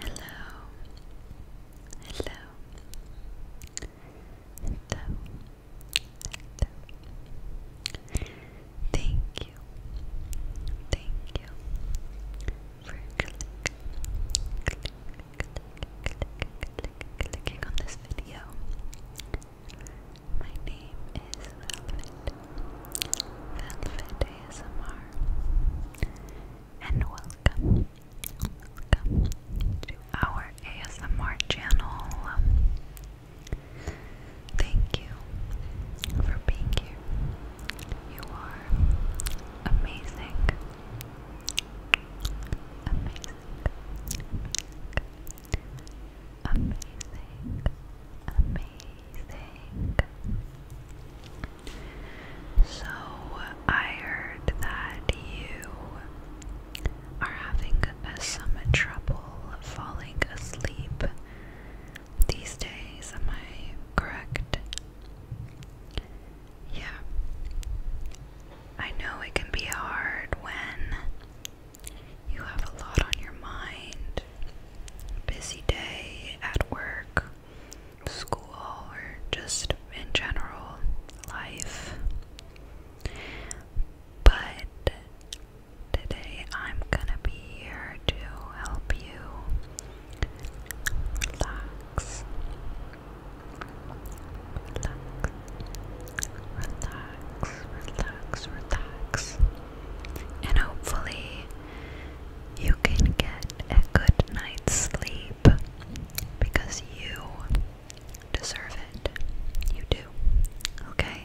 Hello, hello, hello, Thank you, thank you for clicking, clicking on this video. My name is Velvet, Velvet ASMR, and welcome, welcome to our ASMR channel. Thank you for being here. You are amazing, amazing amazing, amazing. So I heard that you are having some trouble falling asleep these days. Am I correct? Yeah. I know it can be hard when you have a lot on your mind. Busy day at work, school, or just in general life. But today I'm gonna be here to help you relax relax, relax, relax, and hopefully you can get a good night's sleep because you deserve it. You do, okay?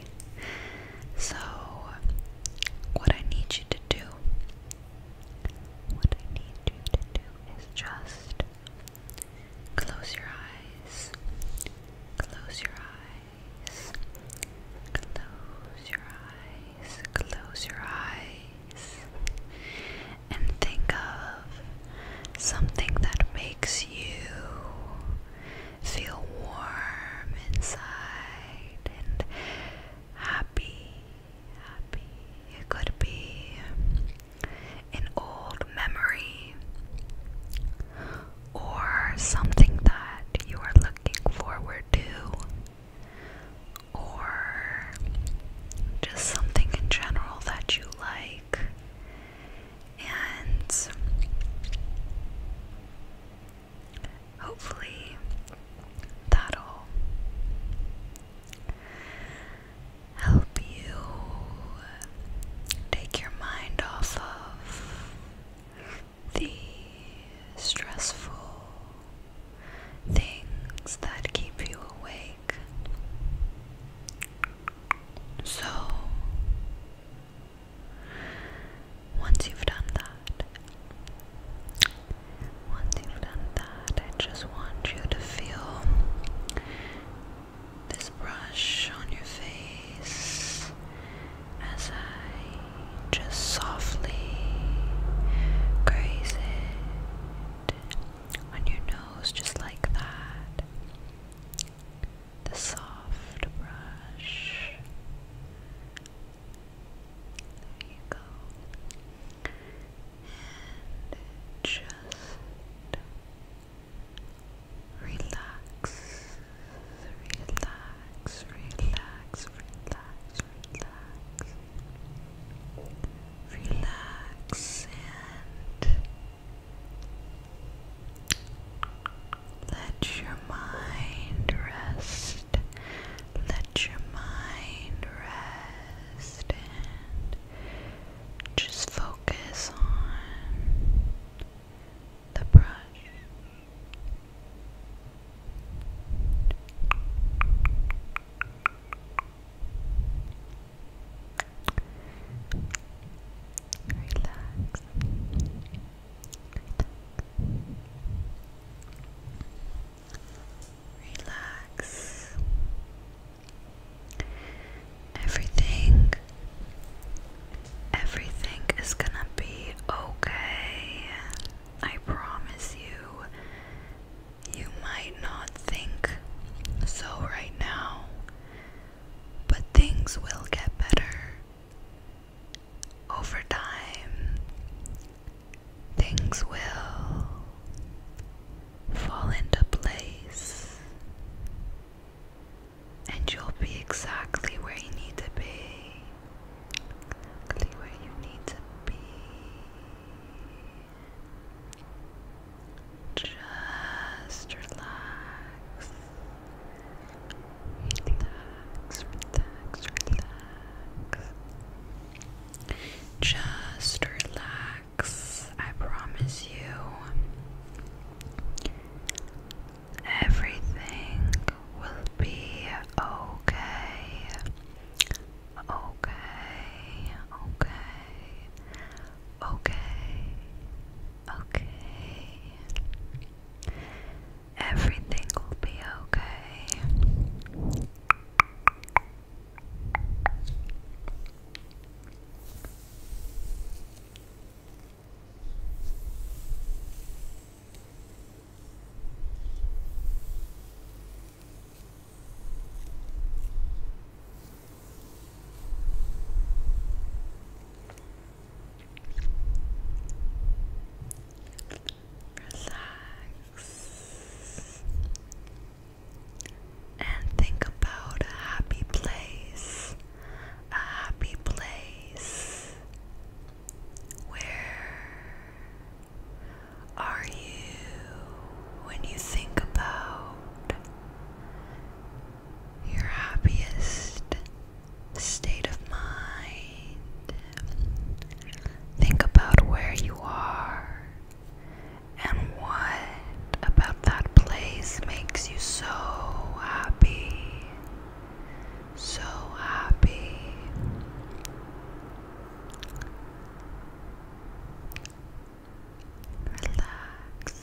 So, what I need you to do, what I need you to do is just Close your eyes. Close your eyes. Close your eyes. Close your eyes. And think of something that makes you feel warm inside and happy it could be an old memory or something that you are looking forward to or just something in general that you like and hopefully that'll help you take your mind off of the stressful things that keep you awake. So, once you've done that, once you've done that, I just want you to feel this brush on your face as I just softly graze it on your nose, just like that. The soft brush. There you go and just relax, relax, relax, relax, relax. Relax and let your mind rest. Let your mind just focus on the brush. Relax. Relax. Everything, everything is gonna be okay. I promise you. You might not think so right now, but things will get better over time things will fall into place and you'll be exactly where you need to be. Exactly where you need to be. Just relax. Relax, relax, just relax. I promise you, everything will be okay. Okay, okay, okay, okay. Everything will be okay relax, and think about a happy place, a happy place. Where are you when you think about your happiest state of mind. Think about where you are and what about that place makes you so happy. So happy. Relax.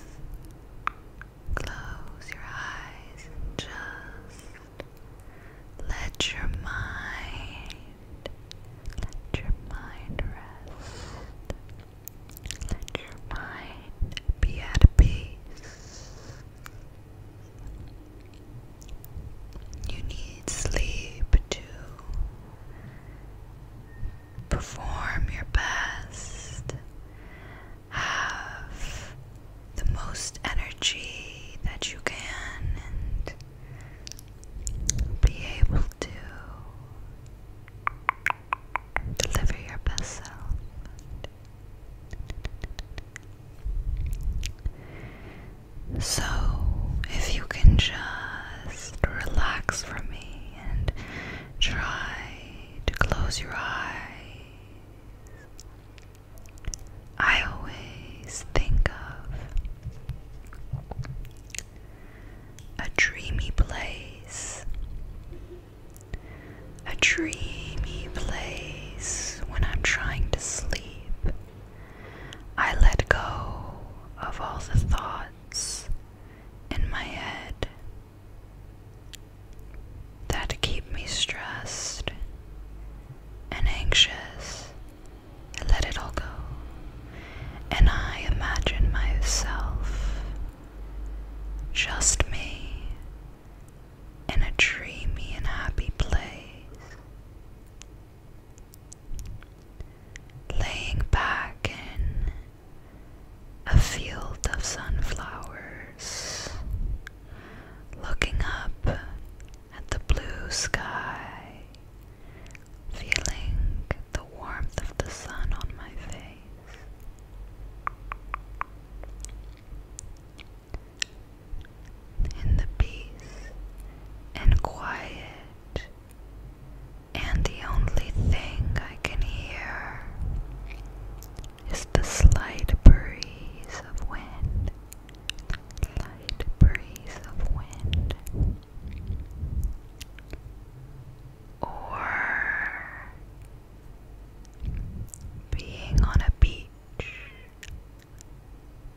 Close your eyes just let your mind, let your mind rest. Let your mind be at peace. You need sleep to perform your best have the most energy that you can and be able to deliver your best self. So, if you can just relax for me and try to close your eyes I always think of a dreamy place, a dreamy place when I'm trying to sleep. I let go of all the thoughts in my head that keep me stressed and anxious. let it all go. And I imagine myself, just me, in a dreamy and happy place, laying back in a field of sunflowers looking up at the blue sky, feeling the warmth of the sun on my face. In the peace and quiet, and the only thing I can hear is the slight breeze of wind. Light breeze of wind. Or being on a beach,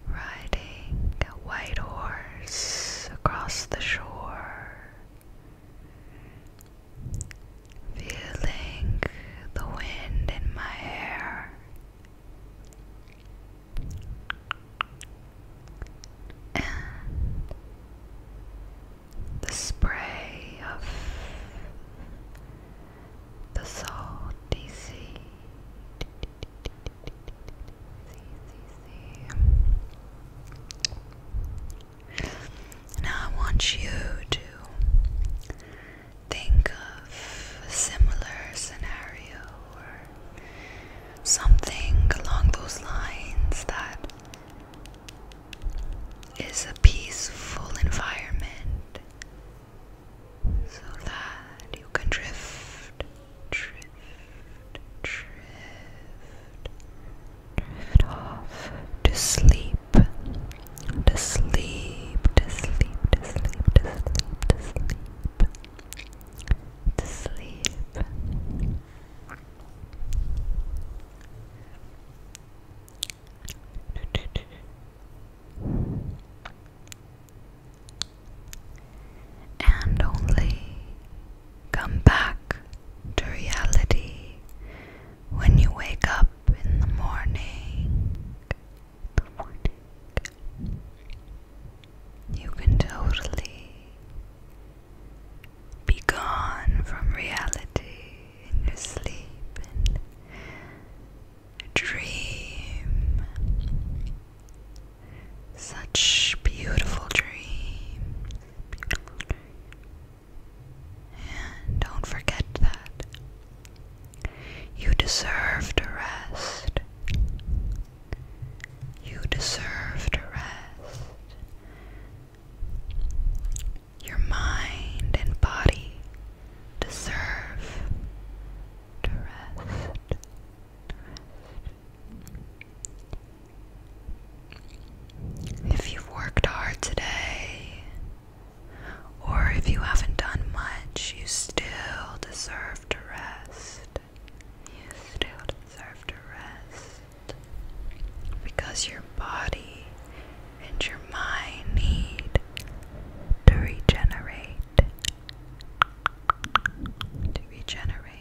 riding a white horse across the shore, feeling the wind in my hair. And the spray of the salty sea. sea. Now I want you to think of a similar scenario or something along those lines that is a peaceful environment so that you can drift, drift, drift off to sleep, to sleep, to sleep, to sleep, to sleep, to sleep, to sleep. To sleep. And only come back to reality when you wake up in the morning, the morning you can totally be gone from reality in your sleep and dream. Such beautiful dreams. And don't forget that. You deserve to rest. You deserve to rest. Your mind and body deserve to rest. rest. If you've worked hard today, or if you haven't done much, you still deserve to rest. You still deserve to rest. Because your body and your mind need to regenerate. To regenerate.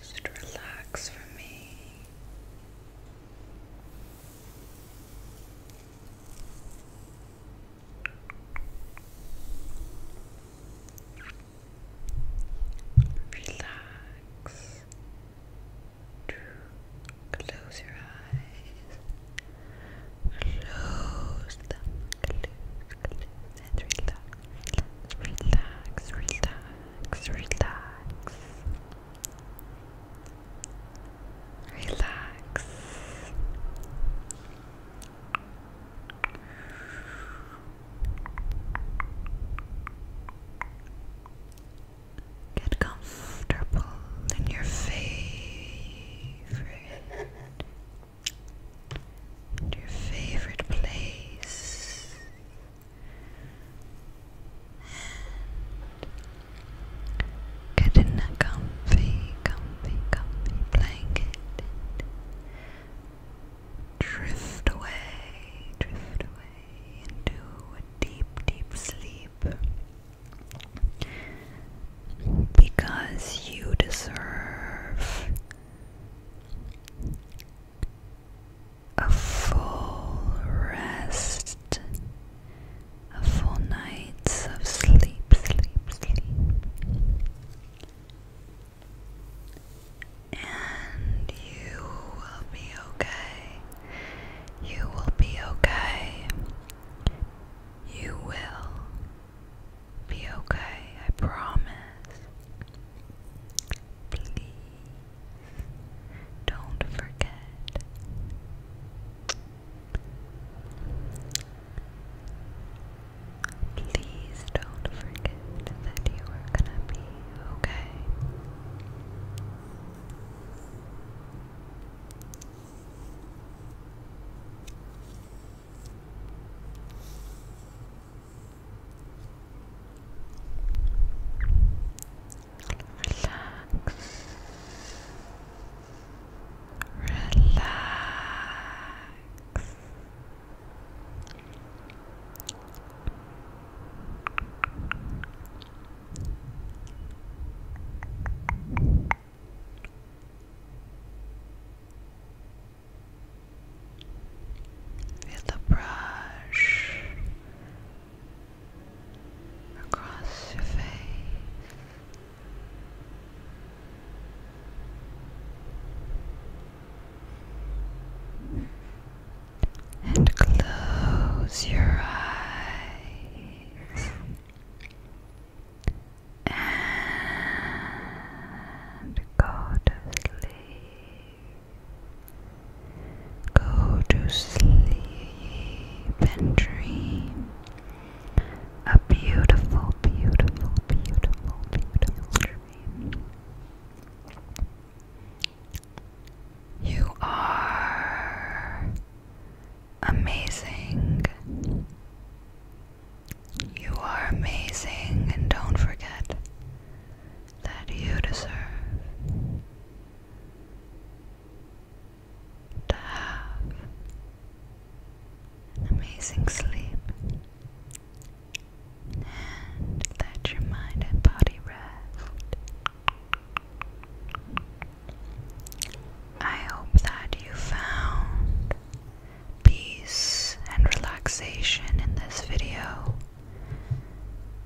Just relax for me. Relax. Close your eyes. Close them. and relax. Relax, relax, relax. Relax. Get comfortable in your favorite, your favorite place, get in a comfy, comfy, comfy blanket drift away, drift away into a deep, deep sleep because you deserve a full rest, a full night of sleep, sleep, sleep. And you will be okay. You will be okay. You will be okay, I promise. Please don't forget. Please don't forget that you are gonna be okay. Relax. Relax. Feel the brush across your face and close your eyes and go to sleep. Go to sleep and dream a beautiful, beautiful, beautiful, beautiful dream. You are amazing. You are amazing, and don't forget that you deserve to have an amazing sleep and let your mind and body rest. I hope that you found peace and relaxation in this video,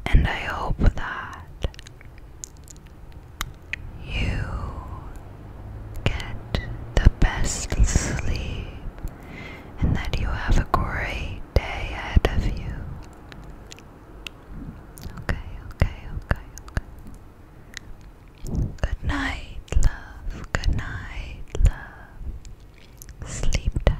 and I hope that you get the best sleep and that you have a great day ahead of you. Okay, okay, okay, okay. Good night, love. Good night, love. Sleep tight.